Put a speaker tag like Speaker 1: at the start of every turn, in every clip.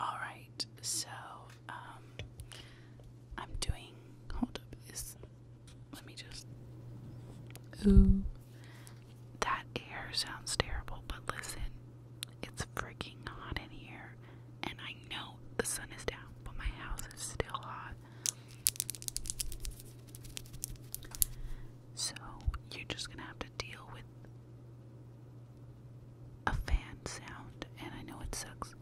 Speaker 1: Alright, so um I'm doing hold up let me just Ooh that air sounds terrible, but listen, it's freaking hot in here and I know the sun is down, but my house is still hot. So you're just gonna have to deal with a fan sound, and I know it sucks.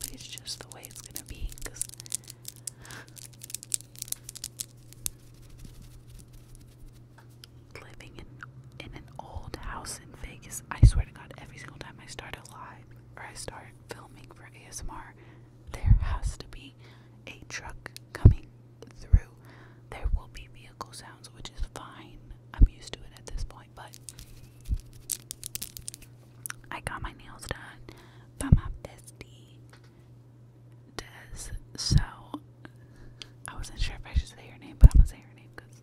Speaker 1: But it's just the way it's gonna be, because. Living in in an old house in Vegas, I swear to God, every single time I start a live or I start filming for ASMR, there has to be a truck coming through. There will be vehicle sounds, which is fine. I'm used to it at this point, but I got my nails done by my bestie Des. So I wasn't sure if I should say her name, but I'm gonna say her name because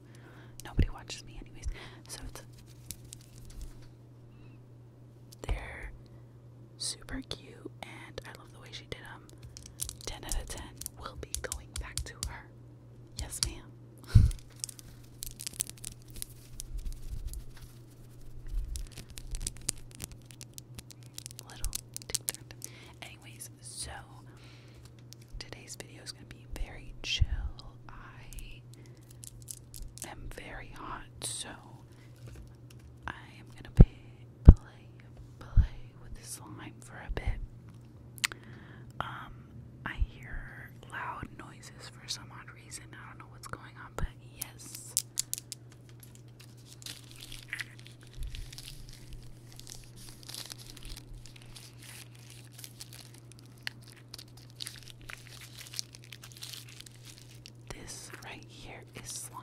Speaker 1: nobody watches me anyways. So it's their super cute, and I love the way she did them. Um, 10 out of 10. We'll be going back to her. Yes, ma'am. Little Anyways, so today's video is going to be very chill. I am very hot, so I am going to pick play, play with the slime for a bit. Um, I hear loud noises for some odd reason. I don't know what's going on, but yes. This right here is slime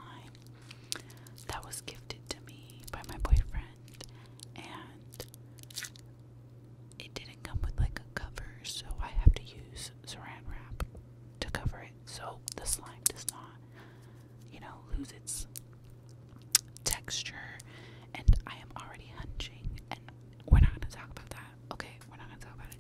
Speaker 1: that was gifted to me by my boyfriend, and it didn't come with like a cover, so I have to use saran wrap to cover it so the slime does not, you know, lose its texture. And I am already hunching, and we're not gonna talk about that, okay? We're not gonna talk about it.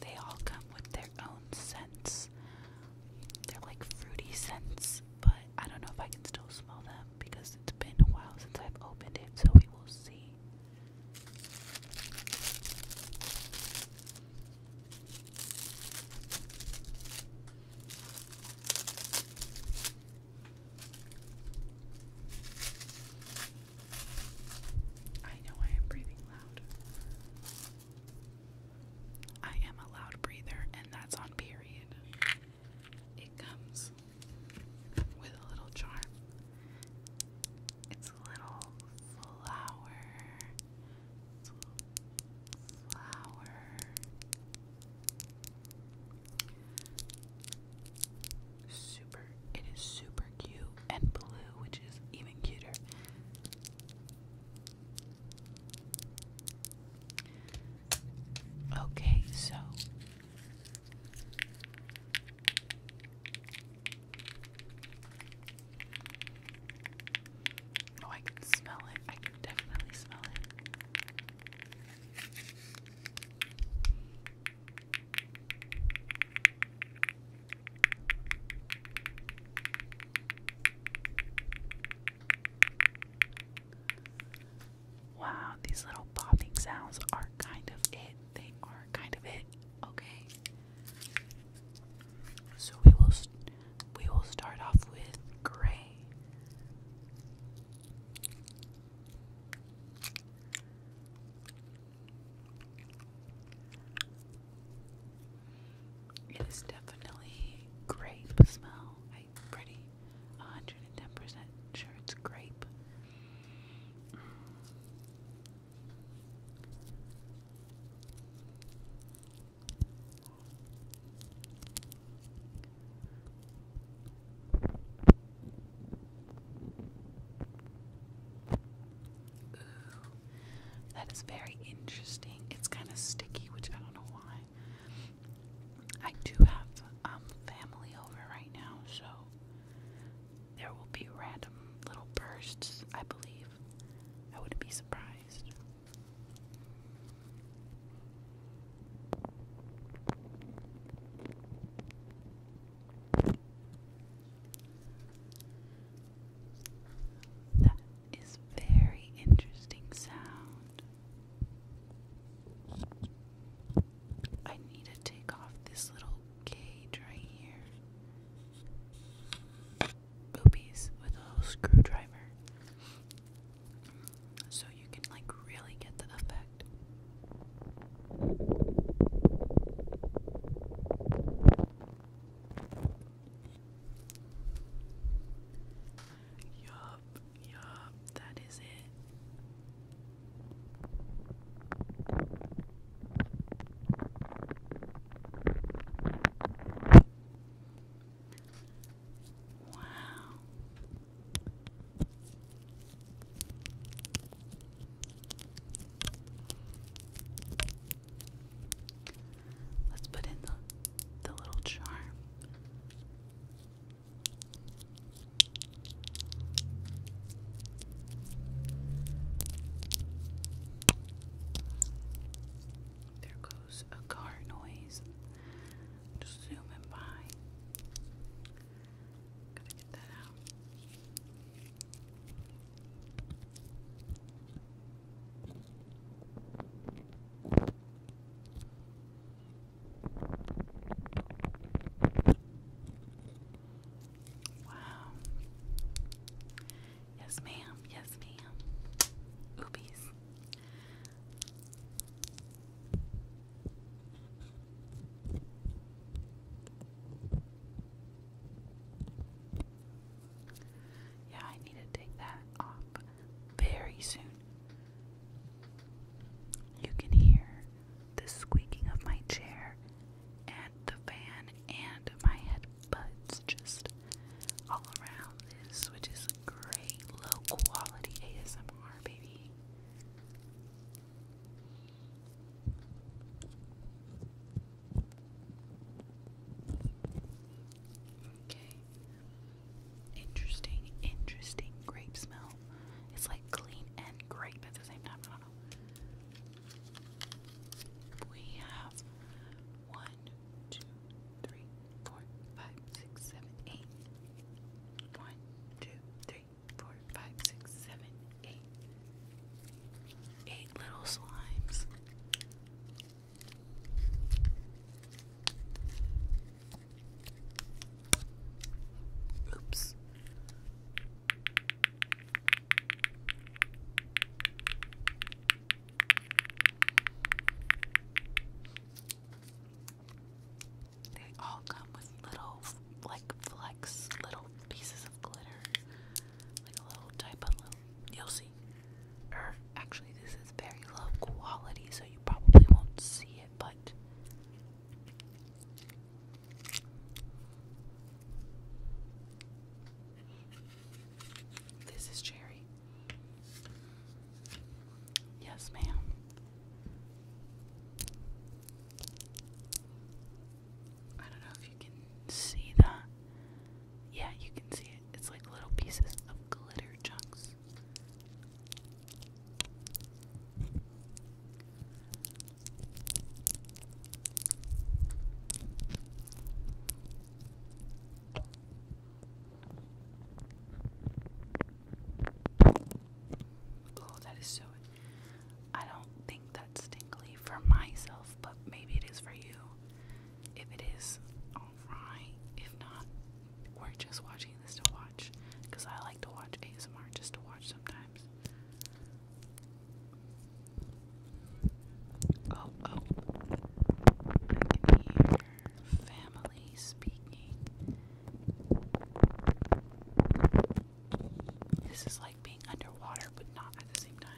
Speaker 1: They all come with their own scents. They're like fruity scents, but I don't know if I can still smell them because it's been a while since I've opened it, so we will see. I know I am breathing loud. I am a loud breather, and that's on period. It comes with a little charm. It's a little flower. flower. Super. It is super cute and blue, which is even cuter. Okay, so Oh, I can smell it. I can definitely smell it. Wow, these little popping sounds are kind of it. They are kind of it. Okay. So we will we will start off with gray. It is definitely grape smell. pretty really 110% sure it's grape. that is very interesting. It's kind of sticky, which I don't know why. I do have um family over right now, so there will be random little bursts, I believe. I wouldn't be surprised. That is very interesting sound. I need to take off this little cage right here. Boobies with a little screwdriver. So you can like really get the effect. Yup. Yup, that is it. Wow. Let's put in the, the little charm. There goes a car noise. zooming by. Gotta get that out. Wow. Yes, ma'am. Yes, ma'am. Oobies. Yeah, I need to take that off very soon you can hear the squeaking of my chair and the fan and my headbutts just all around this, which is great low quality ASMR, baby. Okay. Interesting, interesting grape smell. It's like clean and grape at the same time. I don't know. We have one, two, three, four, five, six, seven, eight. One, two, three, four, five, six, seven, eight. Eight little slimes. Oops. They all come with little, like, flecks, little pieces of glitter. Like a little type of little. You'll see. Er, actually, this is very low quality, so you probably won't see this is cherry. Yes, ma'am. I don't know if you can see that. Yeah, you can see it. It's like little pieces of glitter chunks. Oh, that is so. I don't think that's tingly for myself, but maybe it is for you. If it right? If not, we're just watching this to watch. Because I like to watch ASMR just to watch sometimes. Oh, oh. I family speaking. This is like being underwater, but not at the same time.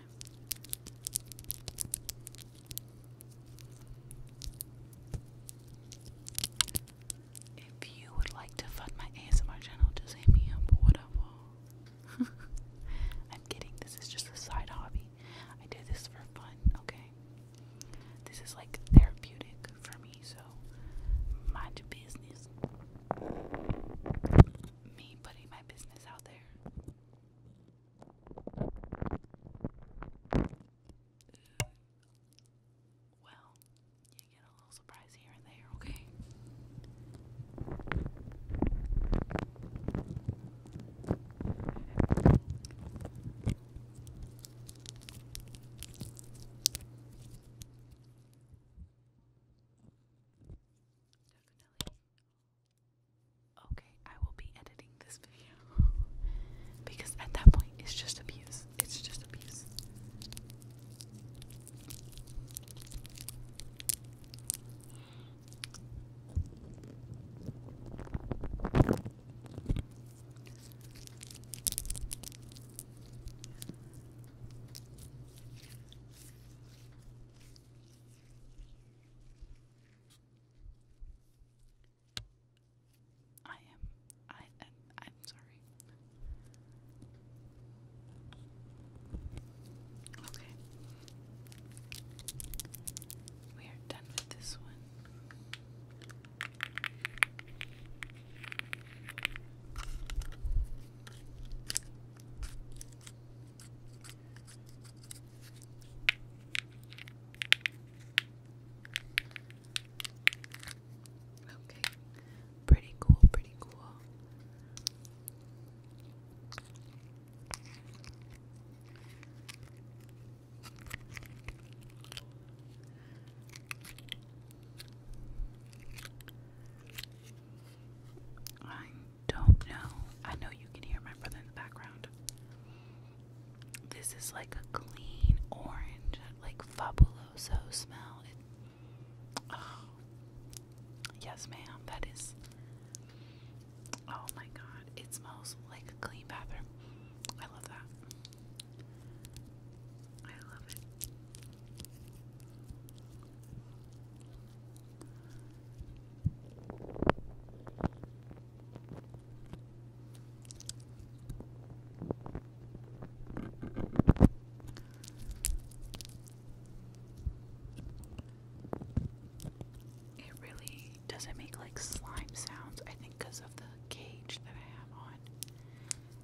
Speaker 1: If you would like to fund my ASMR channel, just hit me up, whatever. I'm kidding, this is just a side hobby. I do this for fun, okay? This is like therapeutic for me, so mind your business. Me putting my business out there well, you get a little surprise here and there, okay? Okay, I will be editing this because at that point it's just abuse. It's just abuse. I am. I I'm sorry. Okay. We are done with this one. Okay. Pretty cool, pretty cool. I don't know. I know you can hear my brother in the background. This is like a clean orange, like fabuloso smell. Oh, yes, ma'am. That is. Oh my god, it smells like a clean bathroom. I love that. I love it. It really doesn't make like slime sounds, I think, because of the cage that I have on,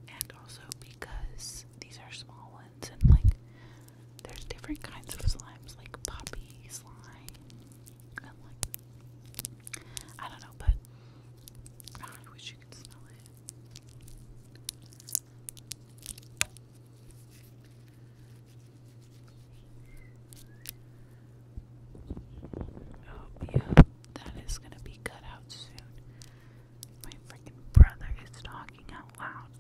Speaker 1: and also because these are small ones, and like there's different kinds of slimes, like puppy slime, I don't know, but I wish you could smell it. Oh, yeah, that is gonna be cut out soon. My freaking brother is talking out loud.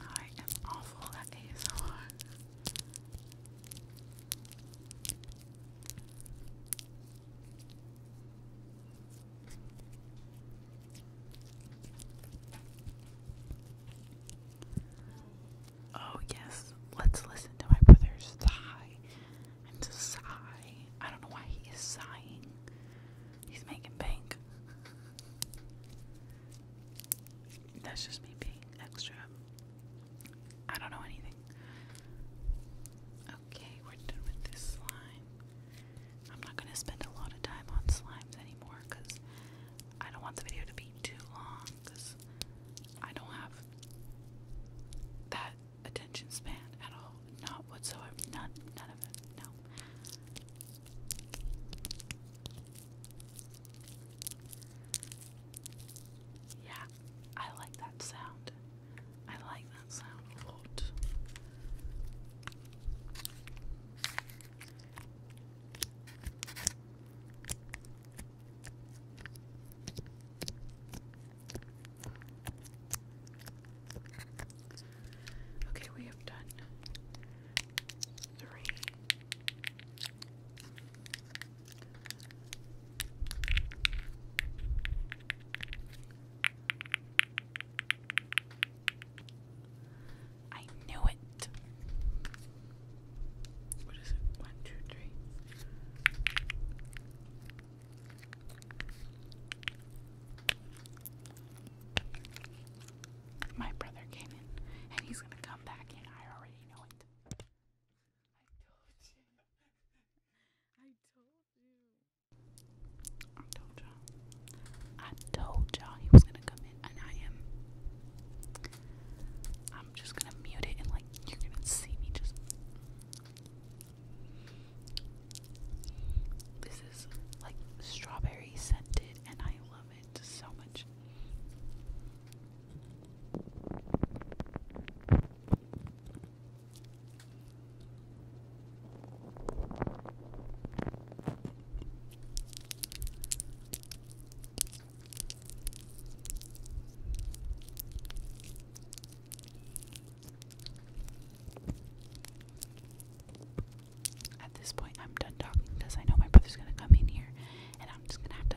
Speaker 1: I am awful at ASMR. Oh, yes, let's listen to my brother's sigh and to sigh. I don't know why he is sighing, he's making bank. That's just me being extra. I don't know anything. Okay, we're done with this slime. I'm not going to spend a lot of time on slimes anymore because I don't want the video to be too long because I don't have that attention span at all. Not whatsoever. None none of it. No. Yeah, I like that sound. I like that sound a lot. Okay, we have done three. I knew it. What is it? One, two, three. My brother came in, and he's gonna come back in. I already know it. I told you. I told you. I told you. I told y'all he was gonna come in, and I am. I'm just gonna mute it, and like you're gonna see me just. This is like strawberry scented, and I love it so much. At this point, I'm done talking because I know my brother's gonna come in here and I'm just gonna have to.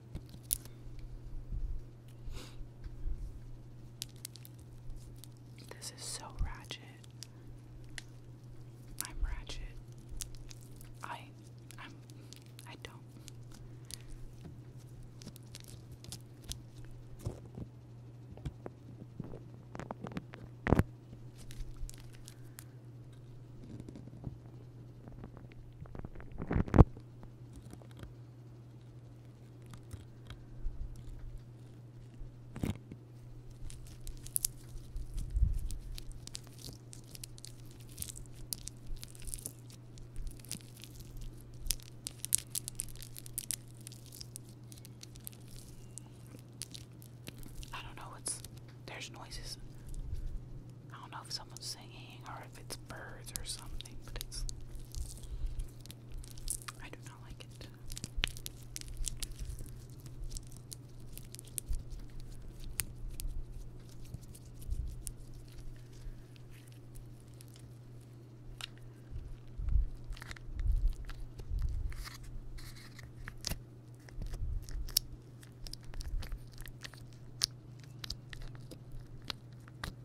Speaker 1: This is so ratchet. I'm ratchet. I I'm I don't I don't know what's there's noises. I don't know if someone's singing or if it's birds or something, but it's. I do not like it.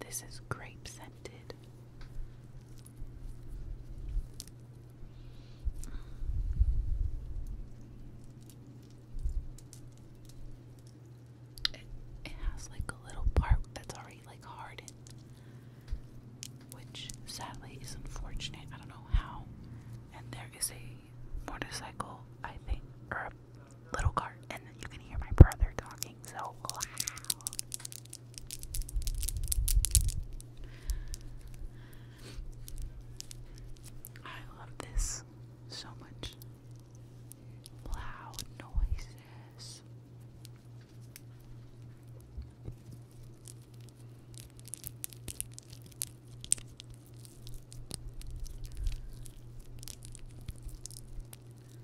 Speaker 1: This is grape scented. It, has like a little part that's already like hardened, which sadly is unfortunate. I don't know how. And there is a motorcycle, I think, or a little cart, and then you can hear my brother talking so loud. I love this so much. Loud noises.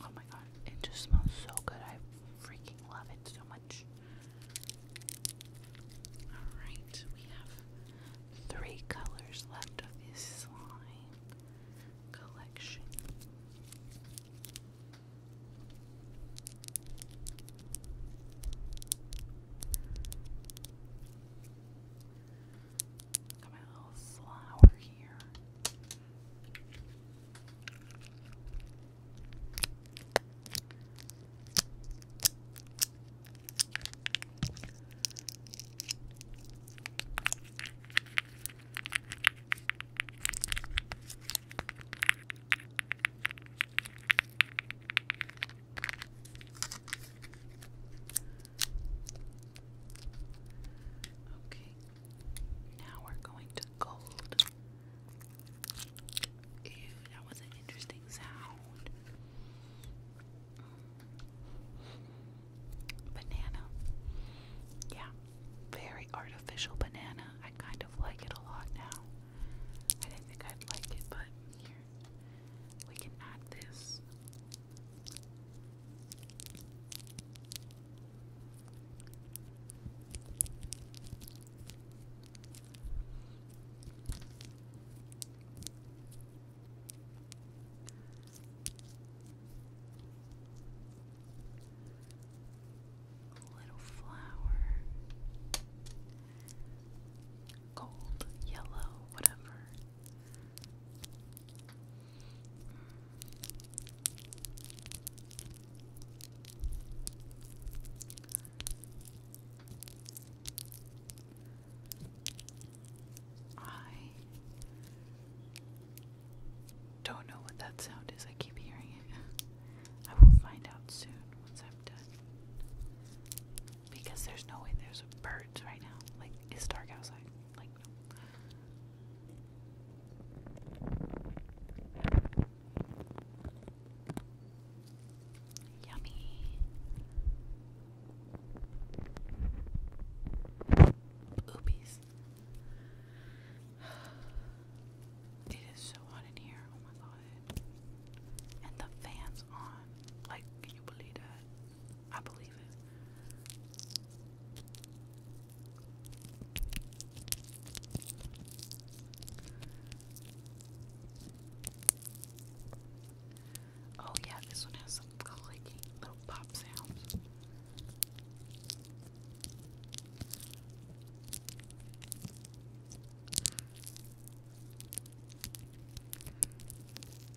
Speaker 1: Oh my god, it just smells so good. I freaking love it so much. Alright, we have three colors left of this slime collection. Got my little flower here. Okay, now we're going to gold. Ew, that was an interesting sound. Banana. Yeah, very artificial banana. I kind of like it a lot now. I didn't think I'd like it, but here. We can add this. A little flower, gold, yellow, whatever. I don't know what that sound is. I keep hearing it. I will find out soon once I'm done. Because there's no way there's a bird right now. Like, it's dark outside. Like, Yummy. Oopies. It is so hot in here. Oh my god. And the fan's on. Like, can you believe that? Oh, yeah, this one has some clicky little pop sounds.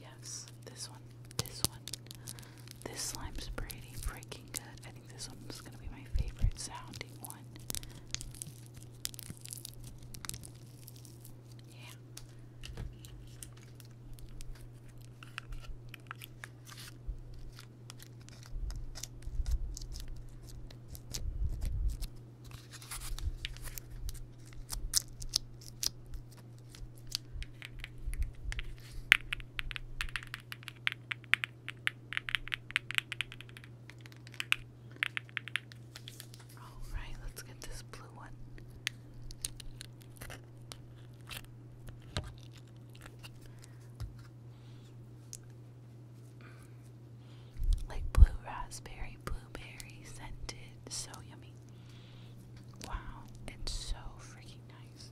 Speaker 1: Yes, this one, this one. This slime's pretty freaking good. I think this one's gonna be my favorite sounding one. Yeah. All right, let's get this blue one. Like blue raspberry, blueberry scented. So yummy. Wow, it's so freaking nice.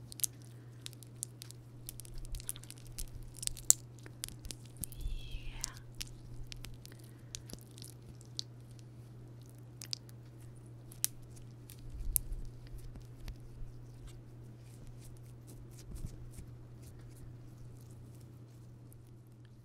Speaker 1: Yeah.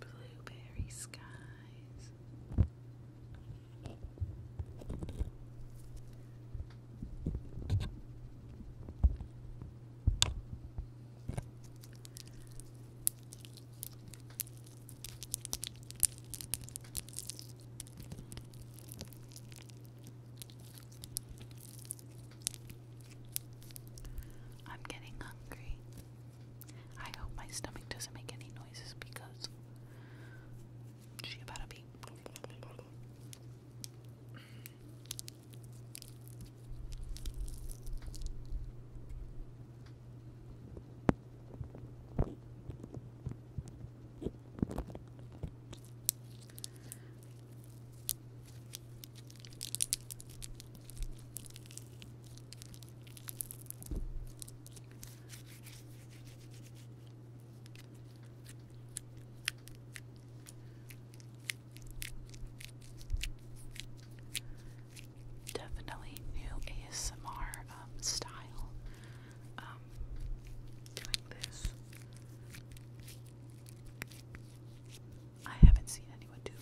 Speaker 1: Blueberry skies. I'm getting hungry. I hope my stomach doesn't make any noises because she about to be. Definitely new ASMR um, style um, doing this. I haven't seen anyone do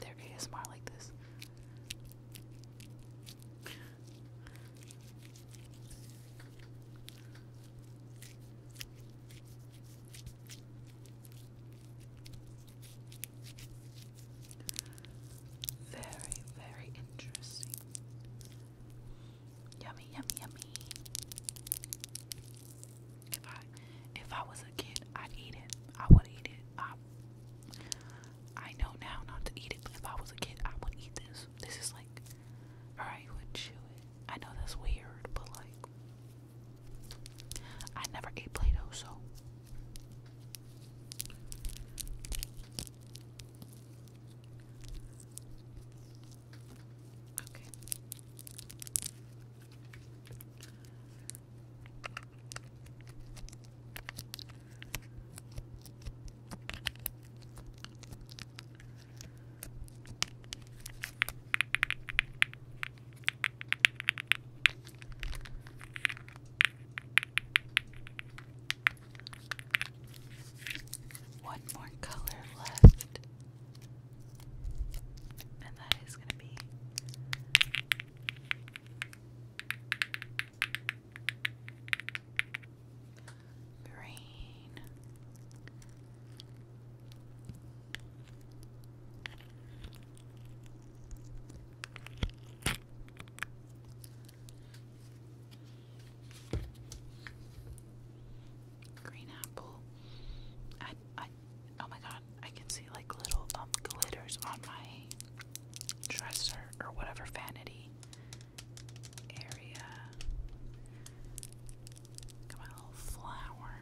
Speaker 1: their ASMR like this. Very, very interesting. Yummy, yummy, yummy. If I if I was a kid, I'd eat it. I would eat it. I, I know now not to eat it, but if I was a kid, I would eat this. This is like, or you would chew it. I know that's weird, but like, I never ate Play Doh, so. Okay. One more color left, and that is going to be green, green apple. I I Oh my god, I can see like little um, glitters on my dresser or whatever vanity area. Got my little flower.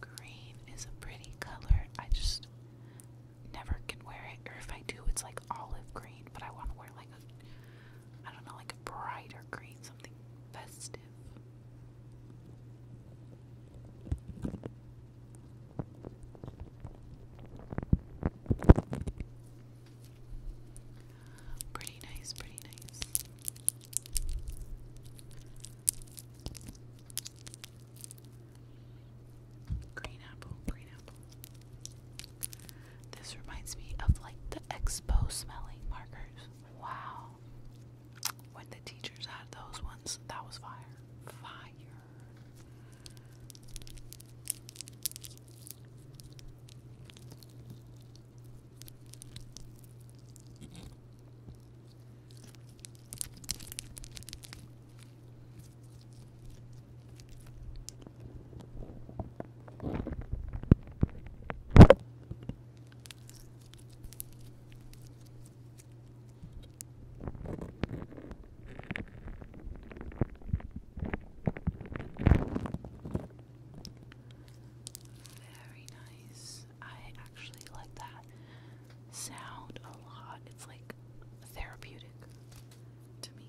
Speaker 1: Green is a pretty color. I just never can wear it, or if I do, it's like olive green. But I want to wear like I don't know, like a brighter green, something festive. Pretty nice, pretty nice. Green apple, green apple. This reminds me of like the expo smelling markers. Wow. When the teachers had those ones, that was fire. Fire. Very nice. I actually like that sound a lot. It's like therapeutic to me.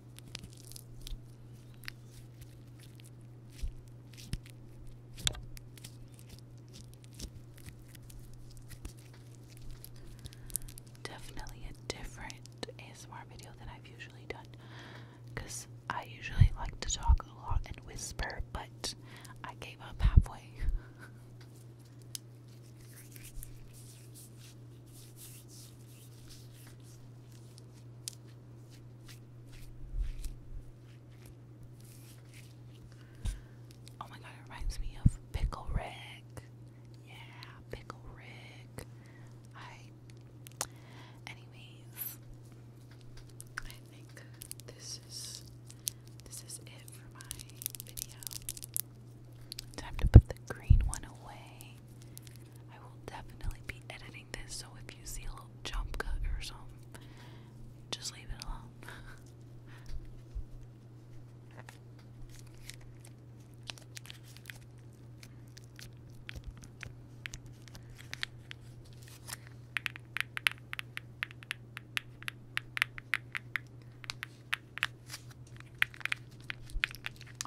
Speaker 1: Definitely a different ASMR video than I've usually done because I usually like to talk a lot and whisper, but I gave up halfway. Oh my god, it reminds me of Pickle Rick. Yeah, Pickle Rick. I anyways I think this is this is it for my video. Time to put the green one away. I will definitely be editing this, so if you see a little jump cut or something, just leave it alone.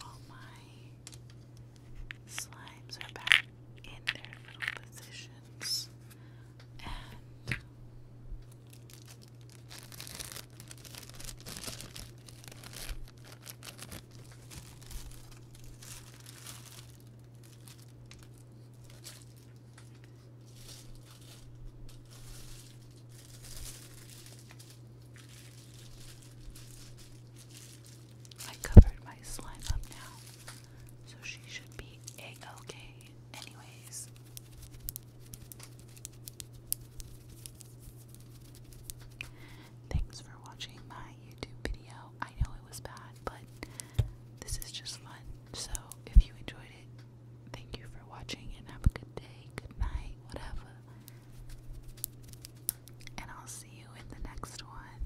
Speaker 1: Oh, my Slimes are back in their little positions I covered my slime up now, so she should be a-okay anyways. Thanks for watching my YouTube video. I know it was bad, but this is just fun. So if you enjoyed it, thank you for watching and have a good day, good night, whatever. And I'll see you in the next one.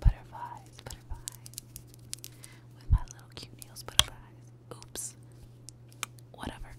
Speaker 1: Butterflies, butterflies. With my little cute nails, butterflies. Oops. Whatever.